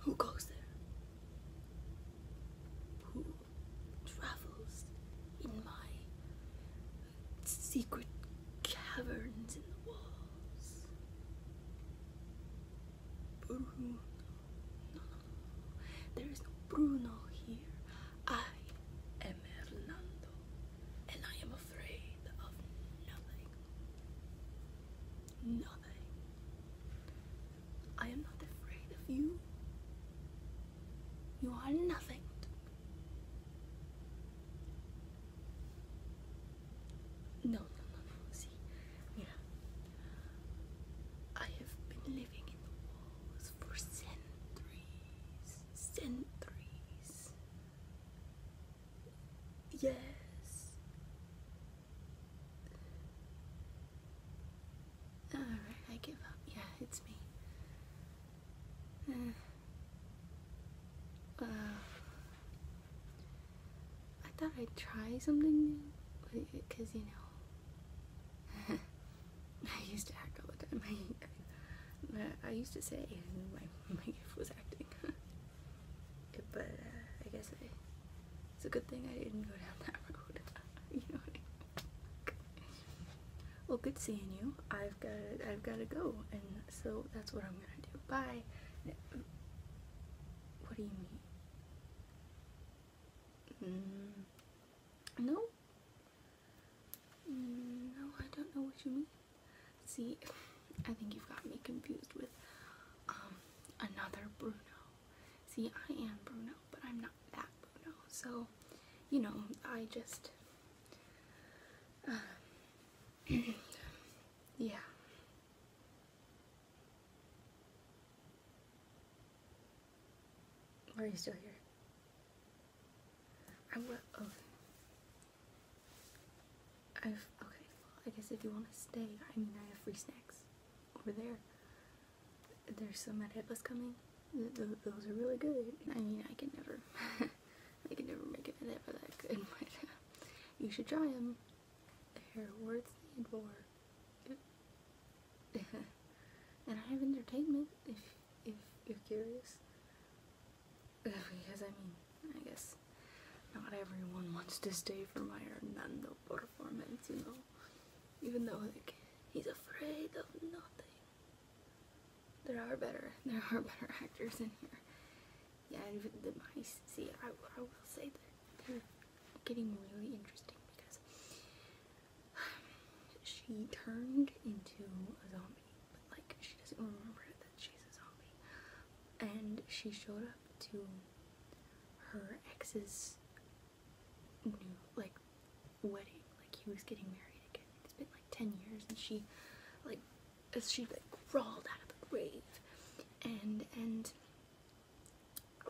Who goes there? Who travels in my secret caverns in the walls? Bruno. No, no, There is no Bruno here. I am Hernando, and I am afraid of nothing nothing. I am not afraid of you. You are nothing. No, no, no, no. See, Mira, I have been living in the walls for centuries, centuries. Yes, Alright, I give up. Yeah, it's me. Uh, uh, I thought I'd try something new, because you know, I used to act all the time. I, I used to say my, my gift was acting but uh, I guess it's a good thing I didn't go down that road. well, good seeing you. I've got I've got to go, and so that's what I'm gonna do. Bye. What do you mean? Mm, no. Mm, no, I don't know what you mean. See. I think you've got me confused with um, another Bruno. See, I am Bruno, but I'm not that Bruno. So, you know, I just. Uh, yeah. Or are you still here? I will. Okay. Oh. I've okay. I guess if you want to stay, I mean, I have free snacks over there. There's some at coming. those are really good. I mean, I can never, I can never make it ever that good. But uh, you should try them. They're worth the for. and I have entertainment if if you're curious. because I mean, I guess not everyone wants to stay for my Hernando performance, you know. Even though like he's afraid of nothing. There are better there are better actors in here. Yeah, and the mice. See, I, I will say that they're getting really interesting because she turned into a zombie, but like she doesn't remember that she's a zombie, and she showed up to her ex's new like wedding. Like he was getting married again. It's been like ten years, and she like as she like crawled out of the grave, and and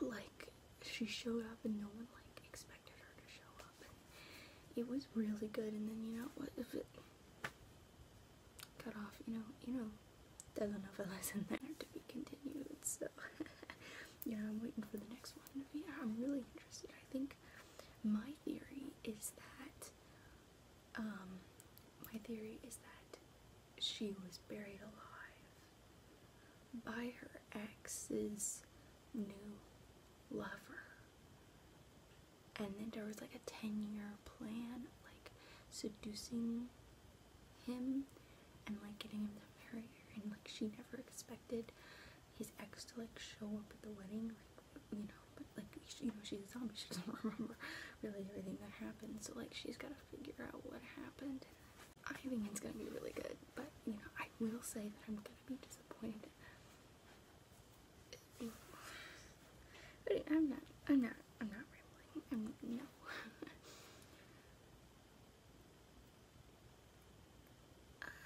like she showed up, and no one like expected her to show up. And it was really good. And then you know what if it cut off, you know, you know, telenovelas in there to be continued. So yeah, I'm waiting for the next one. Yeah, I'm really interested. I think my theory is that um, my theory is that she was buried alive by her ex's new lover. And then there was like a 10 year plan like seducing him and like getting him to marry her and like she never expected his ex to like show up at the wedding like you know but like you know she's a zombie she doesn't remember really everything that happened so like she's got to figure out what happened I think it's gonna be really good but you know I will say that I'm gonna be disappointed but I'm not, I'm not, I'm not rambling. I'm, no.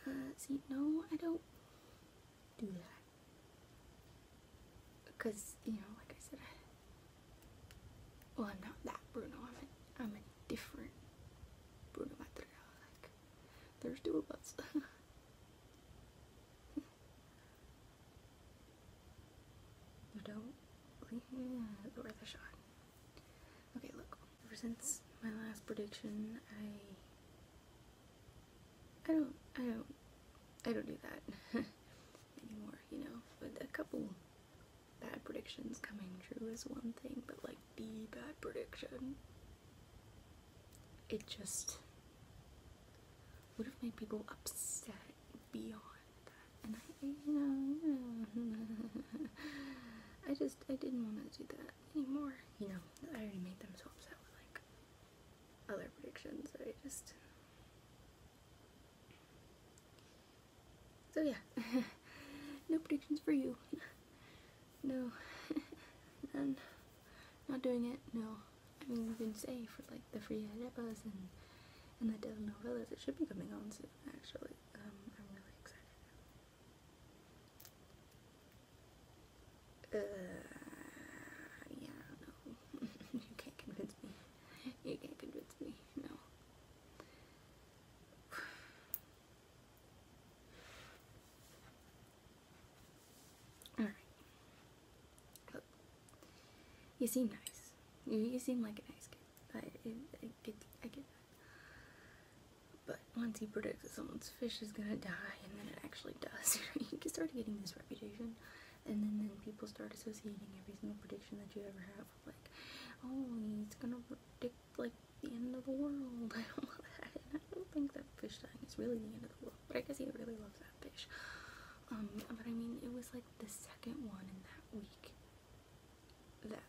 uh, see, no, I don't do that. Because, you know, like I said, I, well, I'm not that Bruno. I'm a, I'm a different Bruno Mattera. Like, there's two of us. You don't? Yeah, go worth a shot. Okay, look. Ever since my last prediction, I... I don't, I don't, I don't do that anymore, you know? But a couple bad predictions coming true is one thing, but like the bad prediction, it just would have made people upset beyond that. And I, you know, I just, I didn't want to do that anymore. You know, I already made them so upset with like other predictions that I just. So yeah, no predictions for you. No, none not doing it, no. I mean, we can say for like the free arepas and and the telenovelas. It should be coming on soon, actually. Um, I'm really excited. Uh, yeah, no. you can't convince me. You can't convince me. No. Alright. You seem nice. You, seem like a nice guy. But once he predicts that someone's fish is gonna die, and then it actually does, you can start getting this reputation, and then, people start associating every single prediction that you ever have with, like, oh, he's gonna predict, like, the end of the world. I I don't think that fish dying is really the end of the world but I guess he really loves that fish. Um, but I mean, it was like the second one in that week that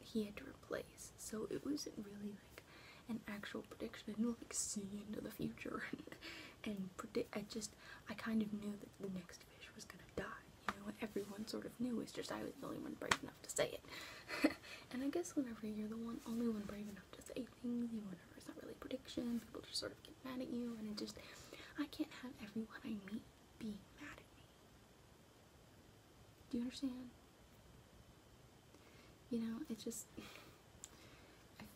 he had to replace, so it wasn't really like an actual prediction. I didn't like see into the future and predict. I just, I kind of knew that the next fish was gonna die. You know, everyone sort of knew. It's just I was the only one brave enough to say it. and I guess whenever you're the one, only one brave enough to say things, you know, it's not really predictions, people just sort of get mad at you, and it just, I can't have everyone I meet being mad at me. Do you understand? You know, it just,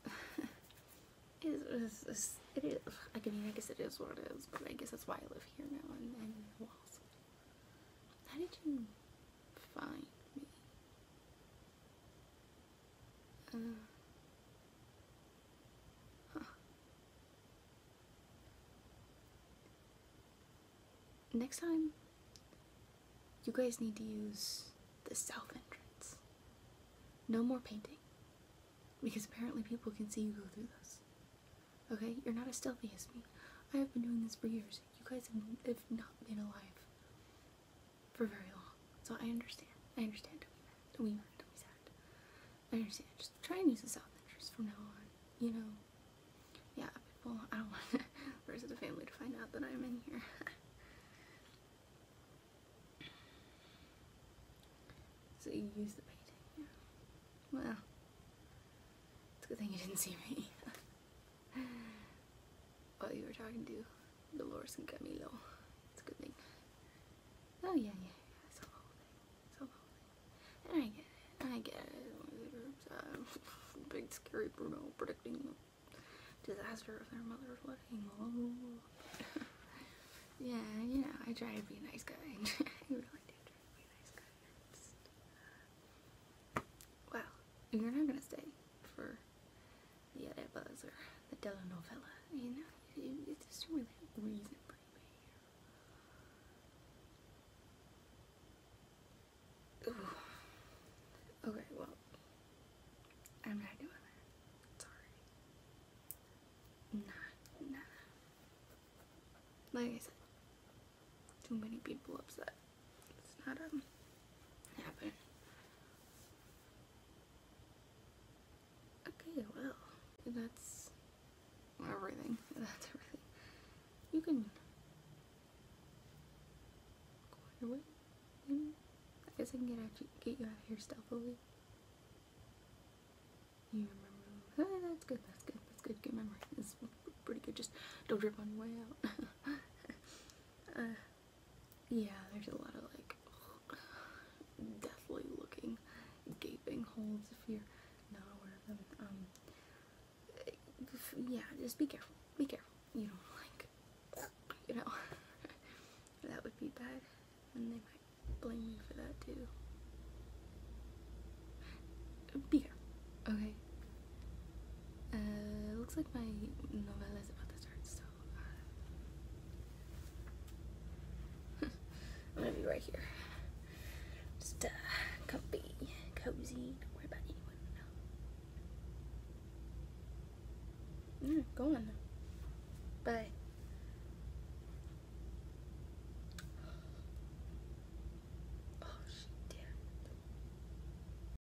it is, I mean, I guess it is what it is, but I guess that's why I live here now, and, then, who How did you find me? Uh. Next time, you guys need to use the south entrance. No more painting. Because apparently people can see you go through this. Okay? You're not as stealthy as me. I have been doing this for years. You guys have not been alive for very long. So I understand. I understand. We not be mad. Don't be sad. I understand. Just try and use the South interest from now on. You know, yeah, people, I don't want the rest of the family to find out that I'm in here. so you use the painting, Well, it's a good thing you didn't see me. oh, you were talking to Dolores and Camilo. It's a good thing. Oh, yeah, yeah, yeah. I get it. I get it. Big scary Bruno predicting the disaster of their mother's wedding. Oh. yeah, you know, I try to be a nice guy. I really do be a nice guy. well, you're not gonna stay for yeah, that buzzer, the telenovela, you know? It's just really a reason Okay, well, I'm not doing that. Sorry. Nah, nah. Like I said, too many people upset. It's not um happen. Okay, well, that's everything. That's everything. You can go away. Mm-hmm. I guess I can get out, get you out here stealthily. You remember? that's good. That's good. That's good. Good memory. It's pretty good. Just don't trip on your way out. Uh, yeah, there's a lot of like deathly looking gaping holes if you're not aware of them. Um, eh, yeah, just be careful. Be careful. You know, like, you know, that would be bad, and they might blame you for that too. Be careful, okay? Uh, looks like my novella is about to start, so I'm uh, gonna be right here. Just uh, comfy, cozy, don't worry about anyone. Mm, go on. Bye. Oh,